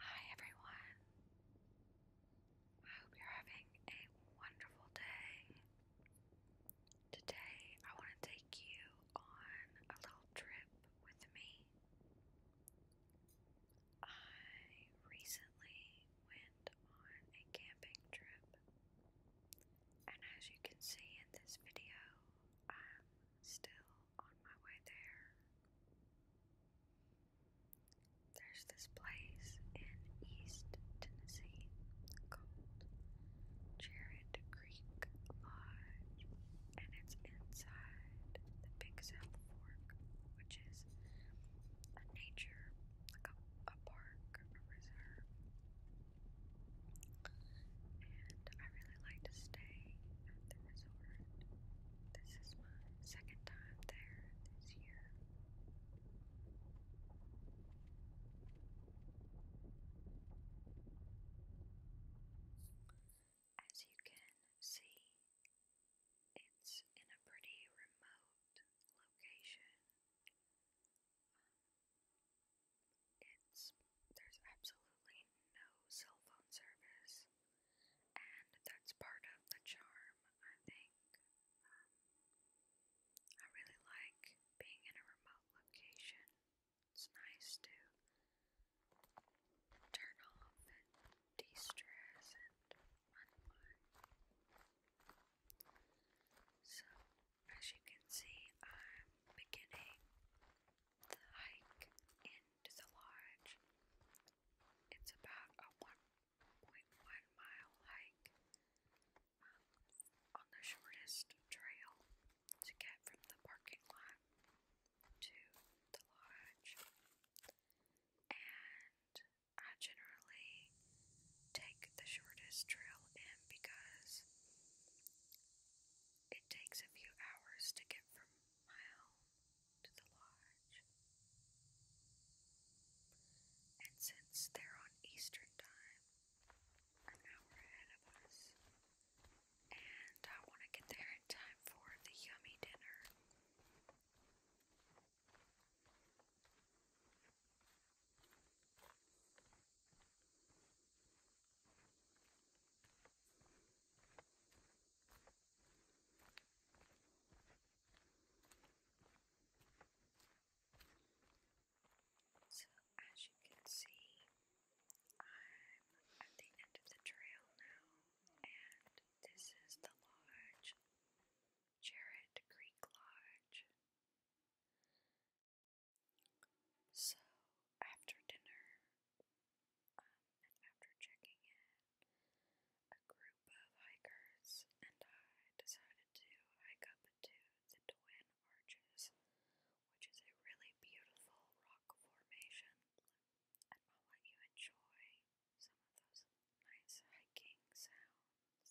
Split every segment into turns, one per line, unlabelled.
Hi everyone. I hope you're having a wonderful day. Today I want to take you on a little trip with me. I recently went on a camping trip. And as you can see in this video, I'm still on my way there. There's this place in East Tennessee called Jared Creek Lodge, and it's inside the Big South Fork, which is a nature, a park, a reserve. And I really like to stay at the resort. This is my second time there this year. As you can see, it's in a pretty remote location. Um, there's absolutely no cell phone service, and that's part of the charm, I think. Um, I really like being in a remote location. It's nice to turn off and de stress and unwind. So, as you can see, I'm beginning the hike into the lodge. It's about a 1.1 mile hike um, on the shortest trail to get from the parking lot to the lodge. And I generally take the shortest trail in because it takes a few hours to get from mile to the lodge. And since they're on Eastern time, an hour ahead of us, and I want to get there in time for the yummy dinner. So, as you can see, I'm at the end of the trail now, and this is the lodge, Jarrett Creek Lodge. So, after dinner, and um, after checking in, a group of hikers and I decided to hike up to the Twin Arches, which is a really beautiful rock formation, and I'll let you enjoy some of those nice hiking sounds.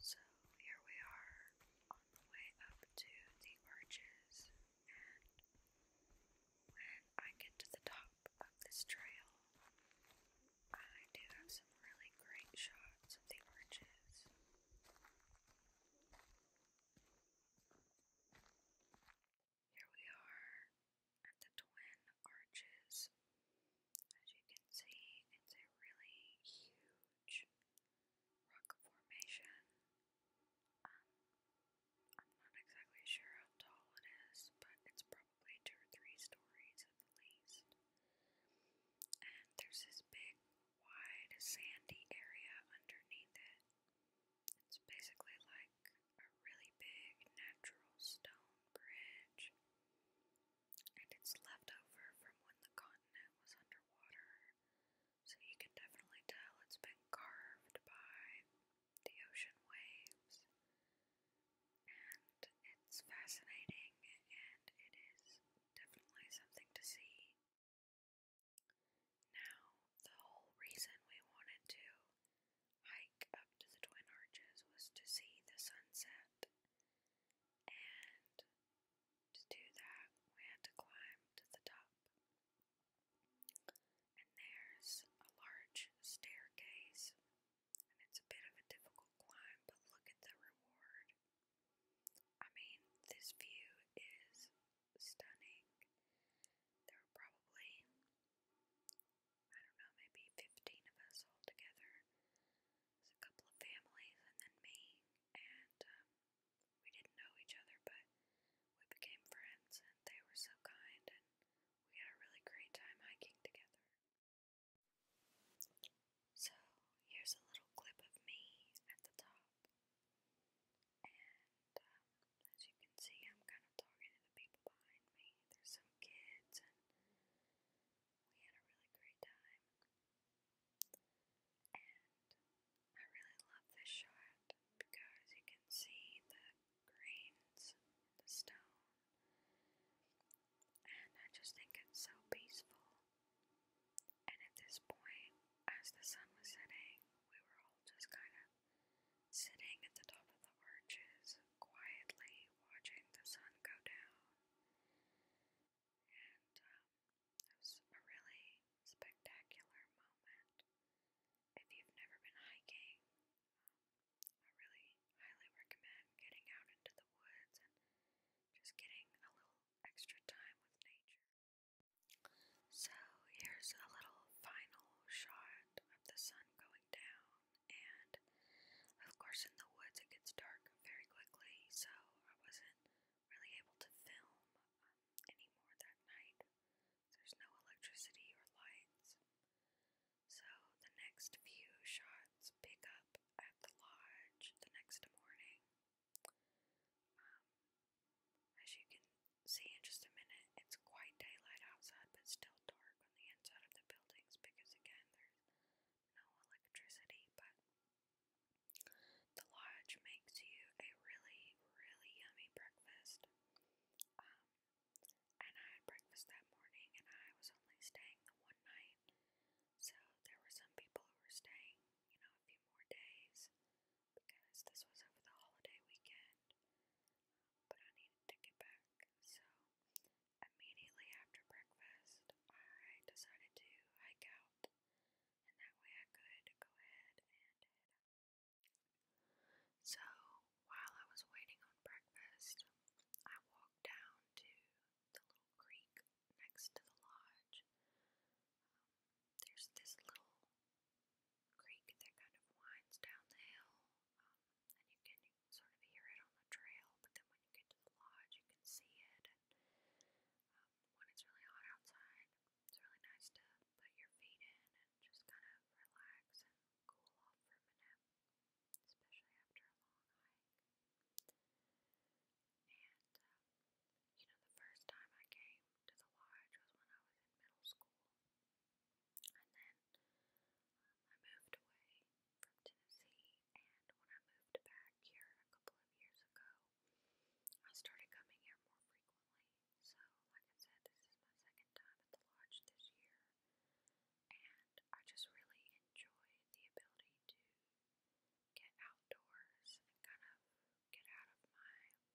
So here we are on the way up to the arches and when I get to the top of this trail, I do have some really great shots of the arches. Here we are at the Twin Arches. As you can see, it's a really huge rock formation um, I'm not exactly sure how tall it is, but it's probably two or three stories at the least. And there's this big, wide, sandy area underneath it. It's basically like a really big natural stone bridge. And it's left over from when the continent was underwater, so you can definitely tell it's been carved by the ocean waves, and it's fascinating and it is definitely something to see. Now, the whole reason we wanted to hike up to the Twin Arches was to see the sunset, and to do that, we had to climb to the top. And there's a large staircase, and it's a bit of a difficult climb, but look at the reward. I mean, this view is stunning. There are probably, I don't know, maybe 15 of us all together. There's a couple of families, and then me, and um, we didn't know each other, but we became friends, and they were so kind, and we had a really great time hiking together. So, here's a little clip of me at the top. And um, as you can see, I'm kind of talking to the people behind me. There's some kids, and we had a really great time. I really love this shot because you can see the greens, in the stone, and I just think it's so peaceful. And at this point, as the sun was setting, we were all just kind of sitting at the top of the arches, quietly watching the sun go down. And um, it was a really spectacular moment if you've never been hiking, I really highly recommend getting out into the woods and just getting a little extra time with nature. So, here's a little final shot of the sun going down, and of course, in the woods it gets dark very quickly, so I wasn't really able to film um, anymore that night. There's no electricity or lights. So the next few shots pick up at the lodge the next morning. Um, as you can see in just a minute, it's quite daylight outside, but still dark on the inside of the buildings because, again, there's no electricity. But the lodge makes you a really, really yummy breakfast. Um, and I had breakfast that morning, and I was only staying the one night. So there were some people who were staying, you know, a few more days because this was over the holiday weekend. But I needed to get back, so immediately after breakfast, I decided to hike out, and that way I could go ahead and head so, while I was waiting on breakfast, I walked down to the little creek next to the lodge. Um, there's this little creek that kind of winds down the hill, um, and you can sort of hear it on the trail, but then when you get to the lodge, you can see it. And um, when it's really hot outside, it's really nice to put your feet in and just kind of relax and cool off for a minute, especially after a long hike. And, um, you know, the first time I came to the lodge was when I was in middle school. And then um, I moved away from Tennessee, and when I moved back here a couple of years ago, I started coming here more frequently. So, like I said, this is my second time at the lodge this year, and I just really enjoy the ability to get outdoors and kind of get out of my head,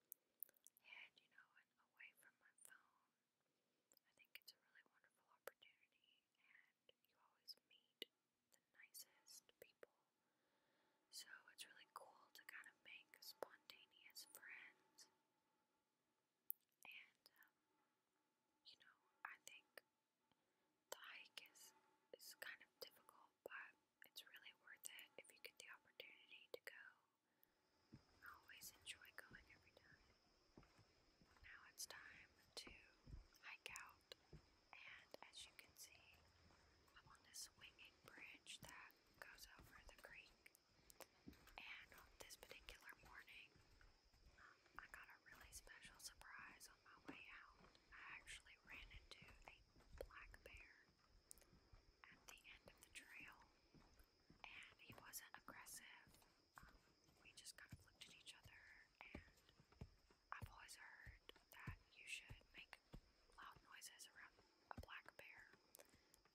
you know, and away from my phone. I think it's a really wonderful opportunity, and you always meet the nicest people so it's really cool to kind of make spontaneous friends. And, um, you know, I think the hike is, is kind of difficult, but it's really worth it if you get the opportunity to go. I always enjoy going every time. Now it's time to hike out, and as you can see, I'm on this swinging bridge that goes over the creek. And on this particular morning, um, I got a really special surprise on my way out. I actually ran into a black bear at the end of the trail, and he wasn't aggressive. Um, we just kind of looked at each other, and I've always heard that you should make loud noises around a black bear.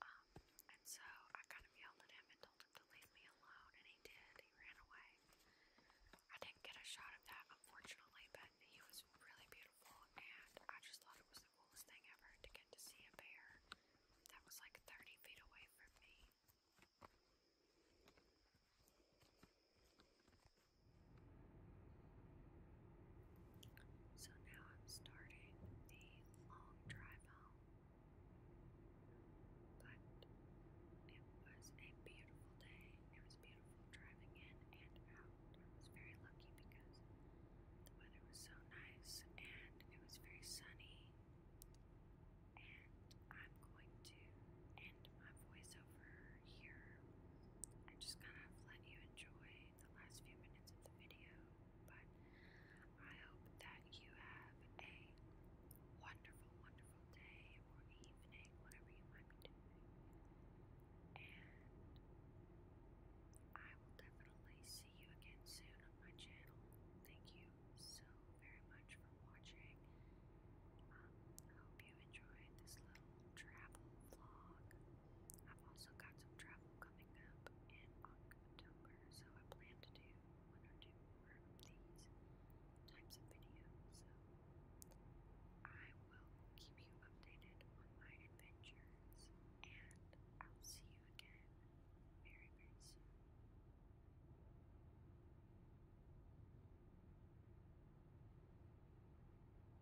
Um, and so I kind of yelled at him and told him to leave me alone, and he did. He ran away. I didn't get a shot of that, unfortunately, but he was really beautiful, and I just thought it was the coolest thing ever to get to see a bear that was like 30 feet away from me. So now I'm starting the long drive home. But it was a beautiful day. It was beautiful driving in and out. I was very lucky because the weather was so nice and it was very sunny. And I'm going to end my voiceover here and just kind of let you enjoy the last few minutes of the video, but I hope that you have a wonderful, wonderful day or evening, whatever you might be doing. And I will definitely see you again soon on my channel. Thank you so very much for watching. Um, I hope you enjoyed this little travel vlog. I've also got some travel coming up in October, so I plan to do one or two more of these types of videos. So I will keep you updated on my adventures, and I'll see you again very, very soon.